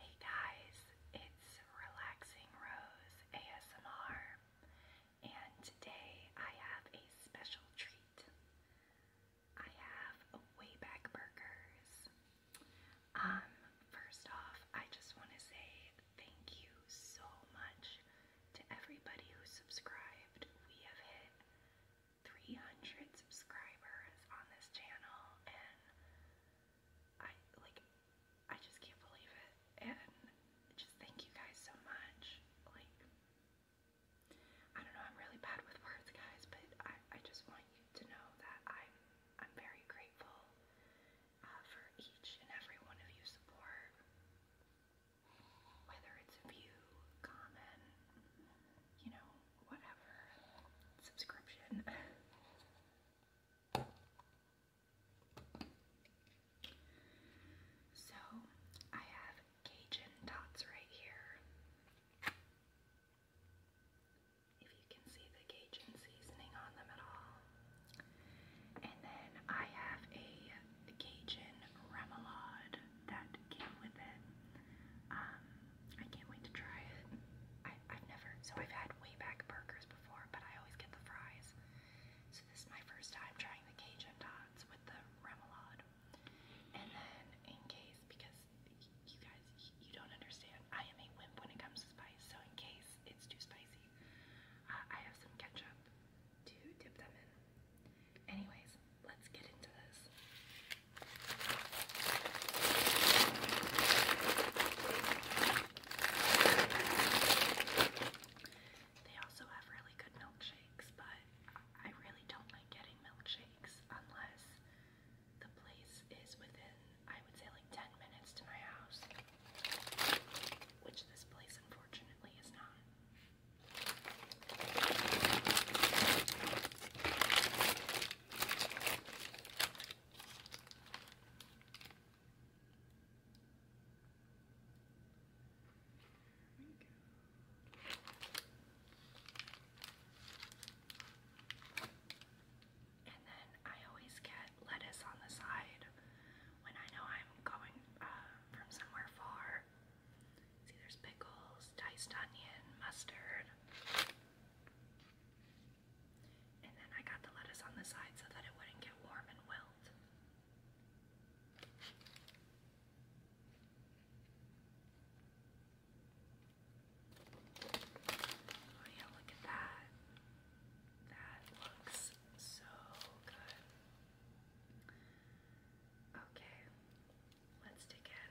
Hey guys, it's Relaxing Rose ASMR, and today I have a special treat. I have Wayback Burgers. Um, first off, I just want to say thank you so much to everybody who subscribed. We have hit 300 subscribers on this channel, and I like I just can't believe it and just thank you guys so much. Like I don't know, I'm really bad with words guys, but I, I just want you to know that I'm I'm very grateful uh, for each and every one of you support. Whether it's a view, comment, you know, whatever subscription. So I have Cajun dots right here. If you can see the Cajun seasoning on them at all. And then I have a Cajun remoulade that came with it. Um, I can't wait to try it. I, I've never, so I've had way back burgers before, but I always get the fries. So this is my first time trying the Cajun dots with the remoulade. And then, in case, because you guys, you don't understand, I am a wimp when it comes to spice. So in case it's too spicy, I have some ketchup to dip them in. Anyways, let's get into this. They also have really good milkshakes, but I really don't like getting milkshakes unless the place is within, I would say, like 10 minutes to my house, which this place unfortunately is not. And then I always get lettuce on the side when I know I'm going uh, from somewhere far. See, there's pickles, diced onion, mustard. And then I got the lettuce on the side so that it wouldn't get warm and wilt. Oh yeah, look at that. That looks so good. Okay, let's dig in.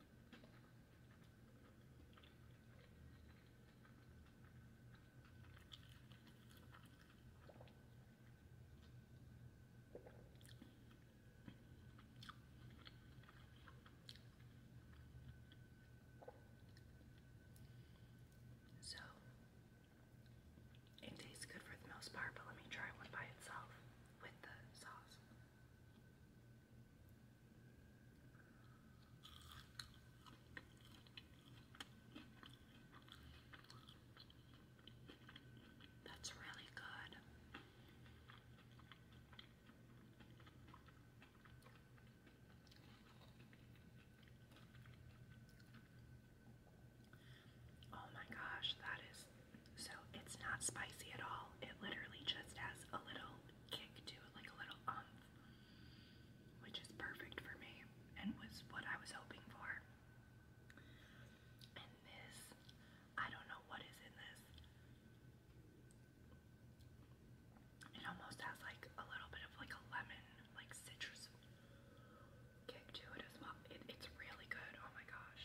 So it tastes good for the most part, but let me try one by itself with the sauce. That's really good. Oh my gosh, that is so it's not spicy at all. It literally just has a little kick to it, like a little umph, which is perfect for me and was what I was hoping for. And this, I don't know what is in this. It almost has like a little bit of like a lemon, like citrus kick to it as well. it's really good. Oh my gosh.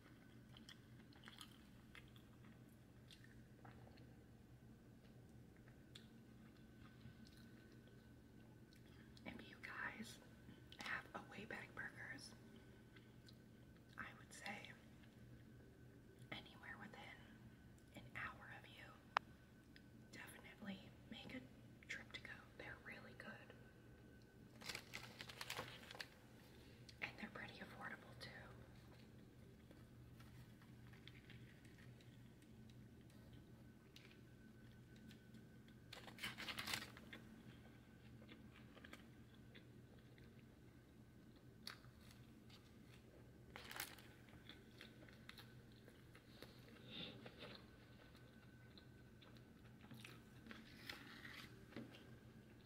If you guys have a Wayback Burgers, I would say anywhere within an hour of you, definitely make a trip to go. They're really good. And they're pretty affordable too.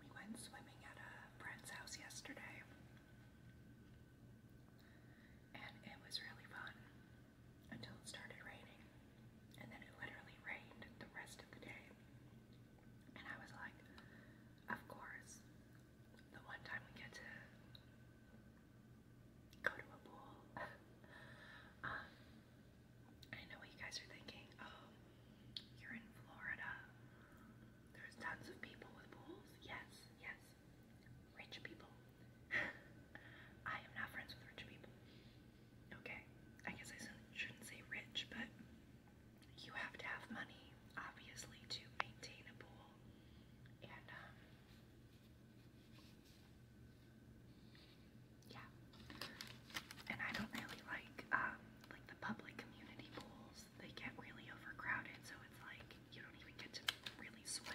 We went swimming at a friend's house yesterday, and it was really fun until it started raining, and then it literally rained the rest of the day. And I was like, of course, the one time we get to go to a pool, um, I know what you guys are thinking. Um, you're in Florida. There's tons of people with pools. Yes, yes. Rich people. I am not friends with rich people. Okay, I guess I shouldn't say rich, but you have to have money, obviously, to maintain a pool. And, um, yeah. And I don't really like um like the public community pools. They get really overcrowded, so it's like you don't even get to really swim.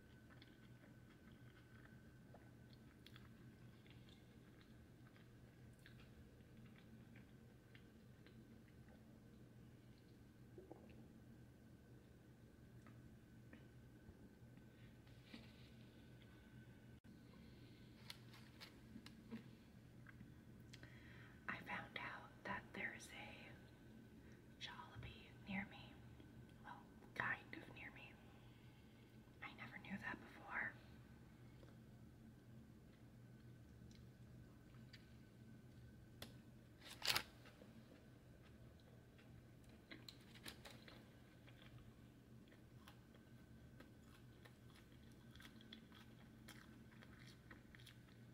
I found out that there's a Jollibee near me. Well, kind of near me. I never knew that before.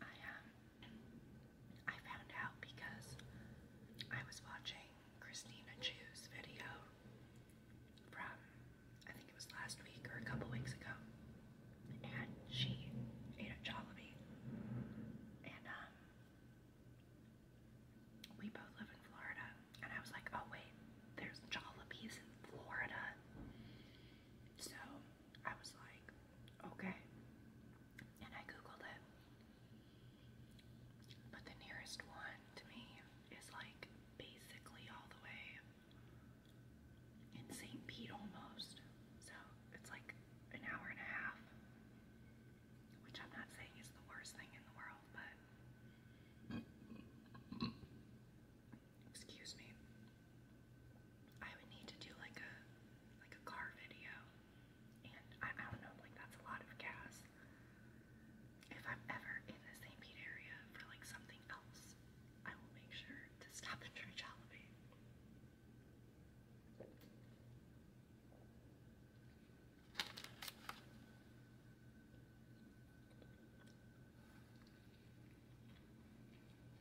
I um I found out because I was watching Christina Chu's video from I think it was last week or a couple weeks ago. And she ate a Jollibee. And um we both live in Florida. And I was like, oh wait, there's Jollibees in Florida. So I was like, okay. And I googled it. But the nearest one to me is like basically all the way in St. Pete almost. So it's like an hour and a half, which I'm not saying is the worst thing in the world, but Excuse me. I would need to do like a like a car video, and I, I don't know, like that's a lot of gas. If I'm ever in the St. Pete area for like something else, I will make sure to stop and try Jollibee.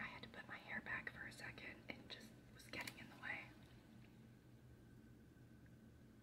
I had to put my hair back for a second, it just was getting in the way.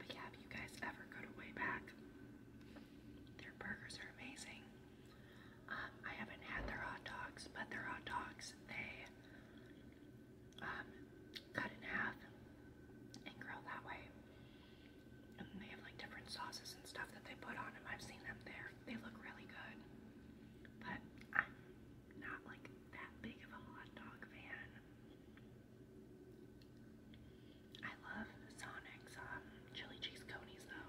But yeah, if you guys ever go to Wayback, their burgers are amazing. Um, I haven't had their hot dogs, but their hot dogs, they um, cut in half and grill that way. And they have like different sauces and stuff that they put on them. I've seen them there. They look really good. But I'm not like that big of a hot dog fan. I love Sonic's um, chili cheese cones, though.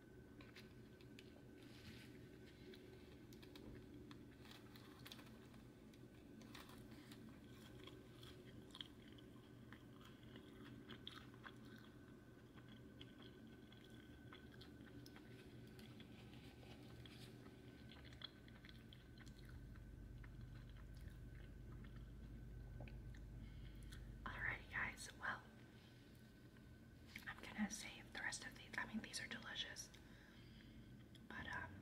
Alrighty, guys. Well, I'm gonna save the rest of these. I mean, these are delicious, but um,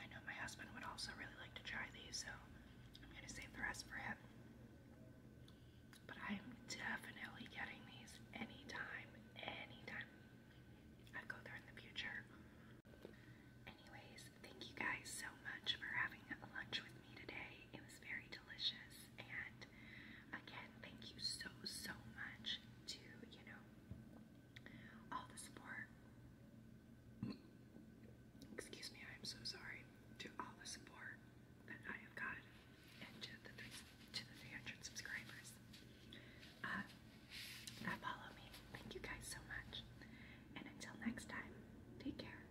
I know my husband would also really like to try these, so I'm gonna save the rest for him. But I am definitely getting these anytime, anytime I go there in the future. Anyways, thank you guys so much for having lunch with me today. It was very delicious. And again, thank you so, so much to, you know, all the support. Excuse me, I am so sorry. To all the support that I have gotten and to the, three, to the 300 subscribers uh, that follow me. Thank you guys so much. And until next time, take care.